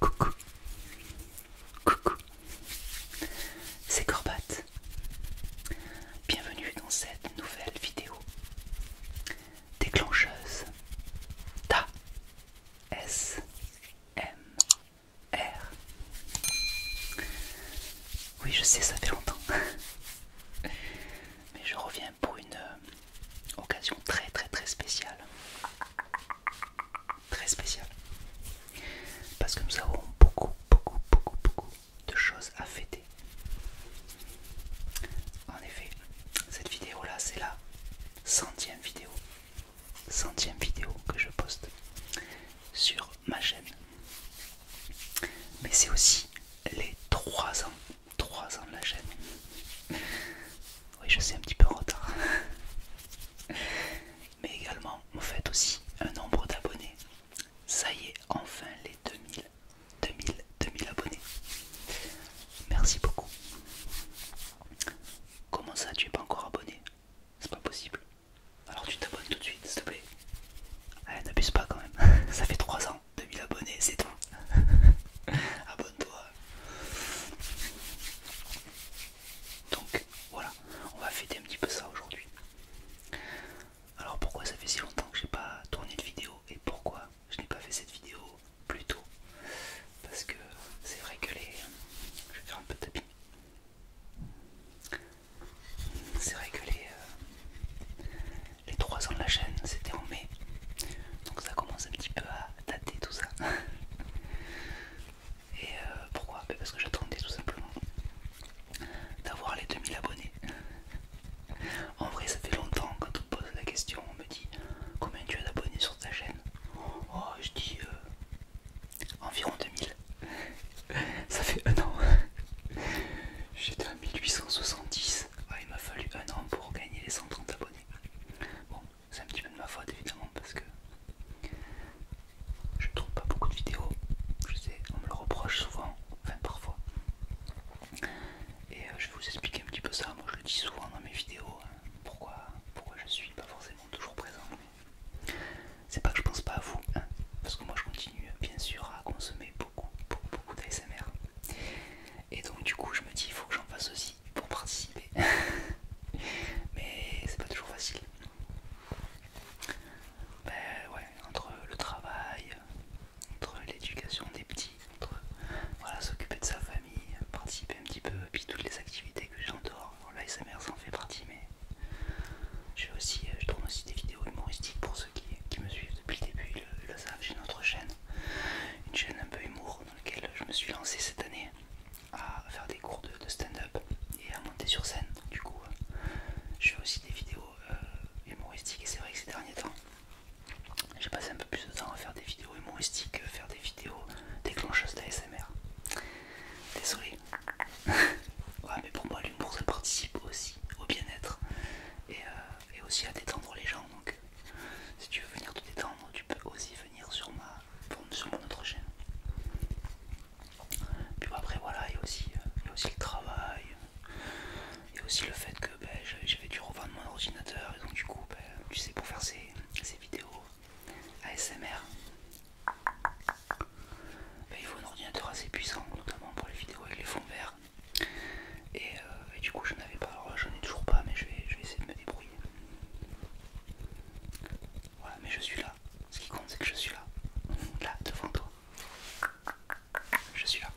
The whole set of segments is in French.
Coucou, coucou, c'est Corbatte. Bienvenue dans cette nouvelle vidéo déclencheuse Ta S M R. Oui, je sais, ça fait longtemps, mais je reviens pour une euh, euh, occasion très très très spéciale. Très spéciale. Parce que nous avons beaucoup beaucoup beaucoup beaucoup de choses à fêter. En effet, cette vidéo là c'est la centième vidéo. Centième vidéo que je poste sur ma chaîne. Mais c'est aussi les trois ans 3 ans de la chaîne. Oui, je sais un petit peu en retard. Mais également, vous faites aussi un nombre d'abonnés. Ça y est, enfin les 2000, 2000, 2000 abonnés. Merci beaucoup. Comment ça, tu n'es pas encore abonné C'est pas possible. Alors tu t'abonnes tout de suite, s'il te plaît. Ah, n'abuse pas quand même. Ça fait 3 ans. 2000 abonnés, c'est toi Abonne-toi. Donc voilà, on va fêter un petit peu ça aujourd'hui. Alors pourquoi ça fait si longtemps que j'ai pas tourné de vidéo et pourquoi je n'ai pas fait cette vidéo plus tôt Parce que c'est vrai que les... Je vais faire un peu de tapis. C'est vrai que les, euh, les 3 ans de la chaîne, c'était en mai. Donc ça commence un petit peu à dater tout ça. Et euh, pourquoi ben, Parce que j'attendais tout simplement d'avoir les 2000 abonnés. En vrai, ça fait longtemps quand on me pose la question, on me dit combien tu as d'abonnés sur ta chaîne Oh, je dis euh, environ 2000. Ça fait un an. J'étais à 1870 il m'a fallu un an pour gagner les 130 abonnés. Bon, c'est un petit peu de ma faute évidemment parce que je trouve pas beaucoup de vidéos. Je sais, on me le reproche souvent, enfin parfois. Et euh, je vais vous expliquer un petit peu ça. Moi je le dis souvent dans mes vidéos. Hein, pourquoi, pourquoi je suis pas forcément toujours présent. c'est pas que je pense pas à vous, hein, parce que moi je continue bien sûr à consommer beaucoup, beaucoup, beaucoup d'ASMR. Et donc, du coup, je me dis, il faut que j'en fasse aussi pour participer. Mais c'est pas toujours facile. Ben, ouais, entre le travail, entre l'éducation des petits, entre s'occuper de sa famille, participer un petit peu, puis toutes les activités que j'ai en dehors. L'ASMR, ça fait partie, mais je, aussi, euh, je tourne aussi des vidéos humoristiques pour ceux qui me suivent depuis le début, le, savent, une autre chaîne, une chaîne un peu humour dans laquelle je me suis lancé cette année à faire des cours de, stand-up et à monter sur scène. du coup, euh, je fais aussi des vidéos euh, humoristiques et c'est vrai que ces derniers temps, j'ai passé un peu plus de temps à faire des vidéos humoristiques, euh, faire des vidéos déclencheuses d'ASMR. Désolé. mais pour moi, l'humour ça participe aussi au bien-être et aussi à détendre les gens. Donc, euh, si tu veux venir te détendre, tu peux aussi venir sur ma sur mon autre chaîne. Puis après, voilà, il y a aussi, euh, aussi le travail, et aussi le fait que ben, j'avais dû revendre mon ordinateur, et donc du coup, ben, tu sais, pour faire ces, vidéos ASMR, ben, il faut un ordinateur assez puissant, notamment pour les vidéos avec les fonds verts. Euh, et, du coup, je n'avais pas, alors ai toujours pas, mais je vais, essayer de me débrouiller. Voilà, mais je suis là. Ce qui compte, c'est que je suis là, là devant toi. Je suis là.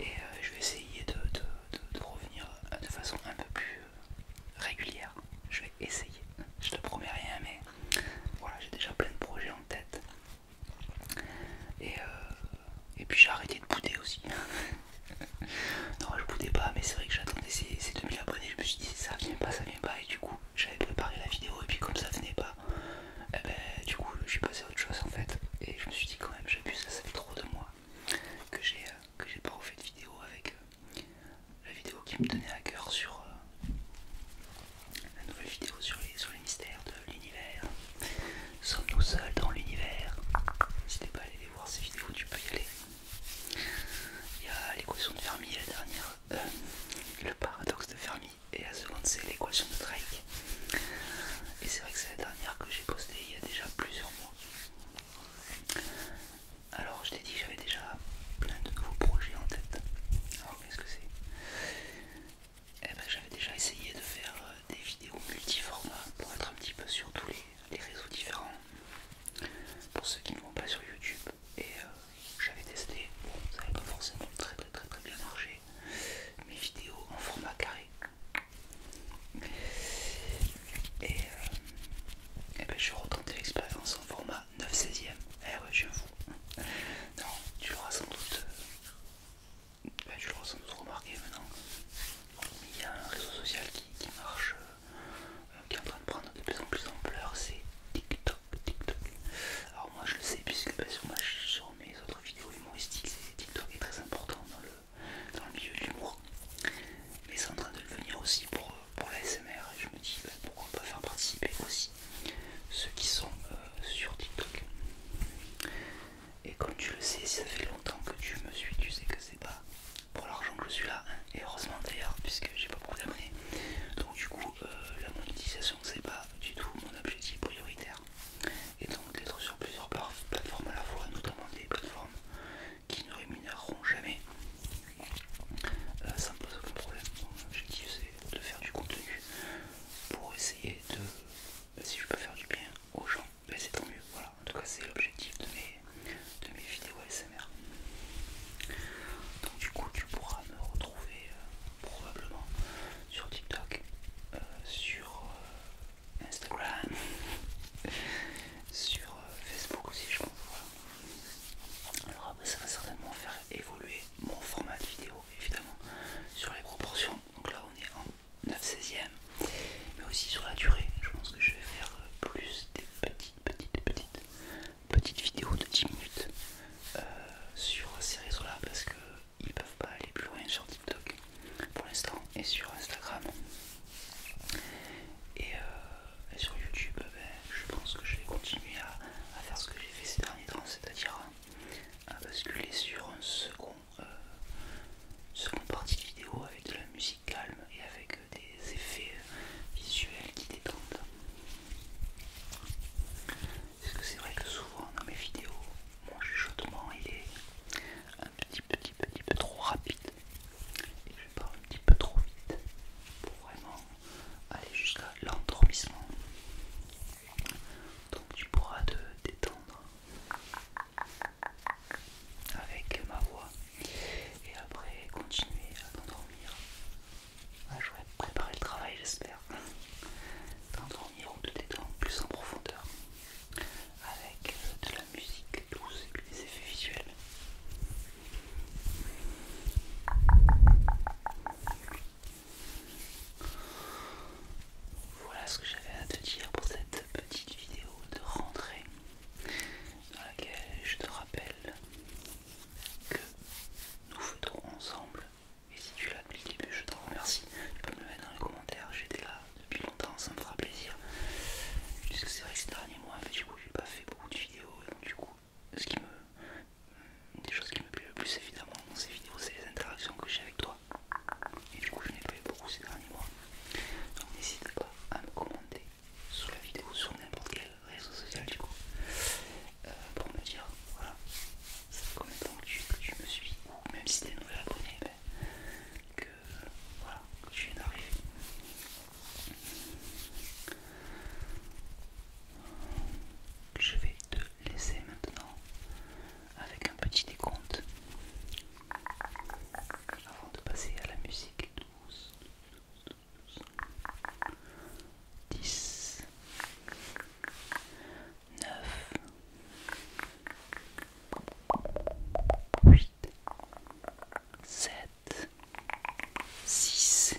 Et euh, je vais essayer de revenir de façon un peu plus euh, régulière. Je vais essayer. Je te promets rien, mais voilà, j'ai déjà plein de projets en tête. Et, euh, et puis j'ai arrêté de bouder aussi. non, je boudais pas, mais c'est vrai que j'attendais ces, 2000 abonnés. Je me suis dit ça vient pas, ça vient pas. Et du coup, j'avais préparé la vidéo. Et puis, comme ça venait pas, eh ben, du coup, je suis passé à autre chose en fait. Et je me suis dit quand même, j'abuse. Ça, ça fait trop de mois que j'ai j'ai pas fait de vidéo avec euh, la vidéo qui me tenait à cœur sur, euh, la nouvelle vidéo sur les, les mystères de l'univers. Sommes-nous seuls dans l'univers N'hésitez pas à aller voir ces vidéos, tu peux y aller. Il y a l'équation de Fermi, la dernière, euh, le paradoxe de Fermi, et la seconde c'est l'équation de Drake. Et c'est vrai que c'est la dernière que j'ai postée il y a déjà plusieurs mois. Alors je t'ai dit que j'avais déjà plein de nouveaux projets en tête. Alors qu'est-ce que c'est eh ben, j'avais déjà essayé de faire euh, des vidéos multi-formats pour être un petit peu sur tous les, réseaux différents pour ceux qui ne vont pas sur YouTube et euh, j'avais testé, ça n'avait pas forcément très très très bien marché mes vidéos en format carré et, je euh, et eh ben, je l'expérience en format 9 16 ème eh ouais je vous non tu l'auras sans doute bah, tu l'auras sans doute remarqué maintenant, il y a un réseau social qui, marche, euh, qui est en train de prendre de plus en plus d'ampleur, c'est TikTok, TikTok. Alors moi je le sais puisque bah, sur, mes autres vidéos humoristiques, TikTok est très important dans le, milieu de l'humour. Mais c'est en train de le devenir aussi pour, pour l'ASMR et je me dis bah, pourquoi pas faire participer aussi ceux qui sont euh, sur TikTok. Et comme tu le sais, ça fait longtemps que tu me suis, tu sais que c'est pas pour l'argent que je suis là, hein. et heureusement d'ailleurs, puisque j'ai pas beaucoup d'abonnés. Donc, du coup, euh, la monétisation, c'est pas du tout mon objectif prioritaire. Et donc, d'être sur plusieurs plateformes à la fois, notamment des plateformes qui ne rémunéreront jamais, euh, ça me pose aucun problème. Mon objectif, c'est de faire du contenu pour essayer de, bah, si je peux faire du bien aux gens, bah, c'est tant mieux, voilà, en tout cas c'est l'objectif de mes, vidéos SMR Donc du coup tu pourras me retrouver euh, probablement sur TikTok, euh, sur euh, Instagram, sur Facebook aussi je pense. Alors ça va certainement faire évoluer mon format de vidéo évidemment sur les proportions. Donc là on est en 9 16e, mais aussi sur la durée. Je pense que je vais faire euh, plus des petites, petites, petites, petites vidéos de 10 minutes euh, sur ces réseaux-là parce que ils peuvent pas aller plus loin sur TikTok pour l'instant et sur Instagram. Et, euh, sur YouTube, ben, je pense que je vais continuer à faire ce que j'ai fait ces derniers temps, c'est-à-dire à basculer sur une seconde euh, partie de vidéo avec de la musique calme et avec euh, des effets euh, visuels qui détendent. Parce que c'est vrai que souvent dans mes vidéos, mon chuchotement il est un petit petit petit peu trop rapide et je parle un petit peu trop vite pour vraiment aller jusqu'à l'endormissement. Donc tu pourras te détendre avec ma voix et après continuer à t'endormir. à ah, je vais préparer le travail j'espère. T'endormir ou te détendre plus en profondeur avec euh, de la musique douce et des effets visuels. Voilà ce que j'avais à te dire pour cette petite vidéo de rentrée dans laquelle je te rappelle que nous fêterons ensemble et si tu l'as depuis le début je te remercie. Tu peux me le mettre dans les commentaires, j'étais là depuis longtemps, ça me fera plaisir. Puisque c'est vrai que ces derniers mois, du coup j'ai pas fait beaucoup de vidéos donc du coup ce qui me une des choses qui me plaît le plus évidemment dans ces vidéos c'est les interactions que j'ai avec toi et du coup je n'ai pas eu beaucoup ces derniers mois donc n'hésite pas à me commenter sous la vidéo sur n'importe quel réseau social du coup euh, pour me dire voilà ça fait combien de temps que tu, me suis ou même si t'es nouvel abonné ben, que tu viens d'arriver je vais te laisser maintenant avec un petit décompte avant de passer à la musique 10 9 8 7 6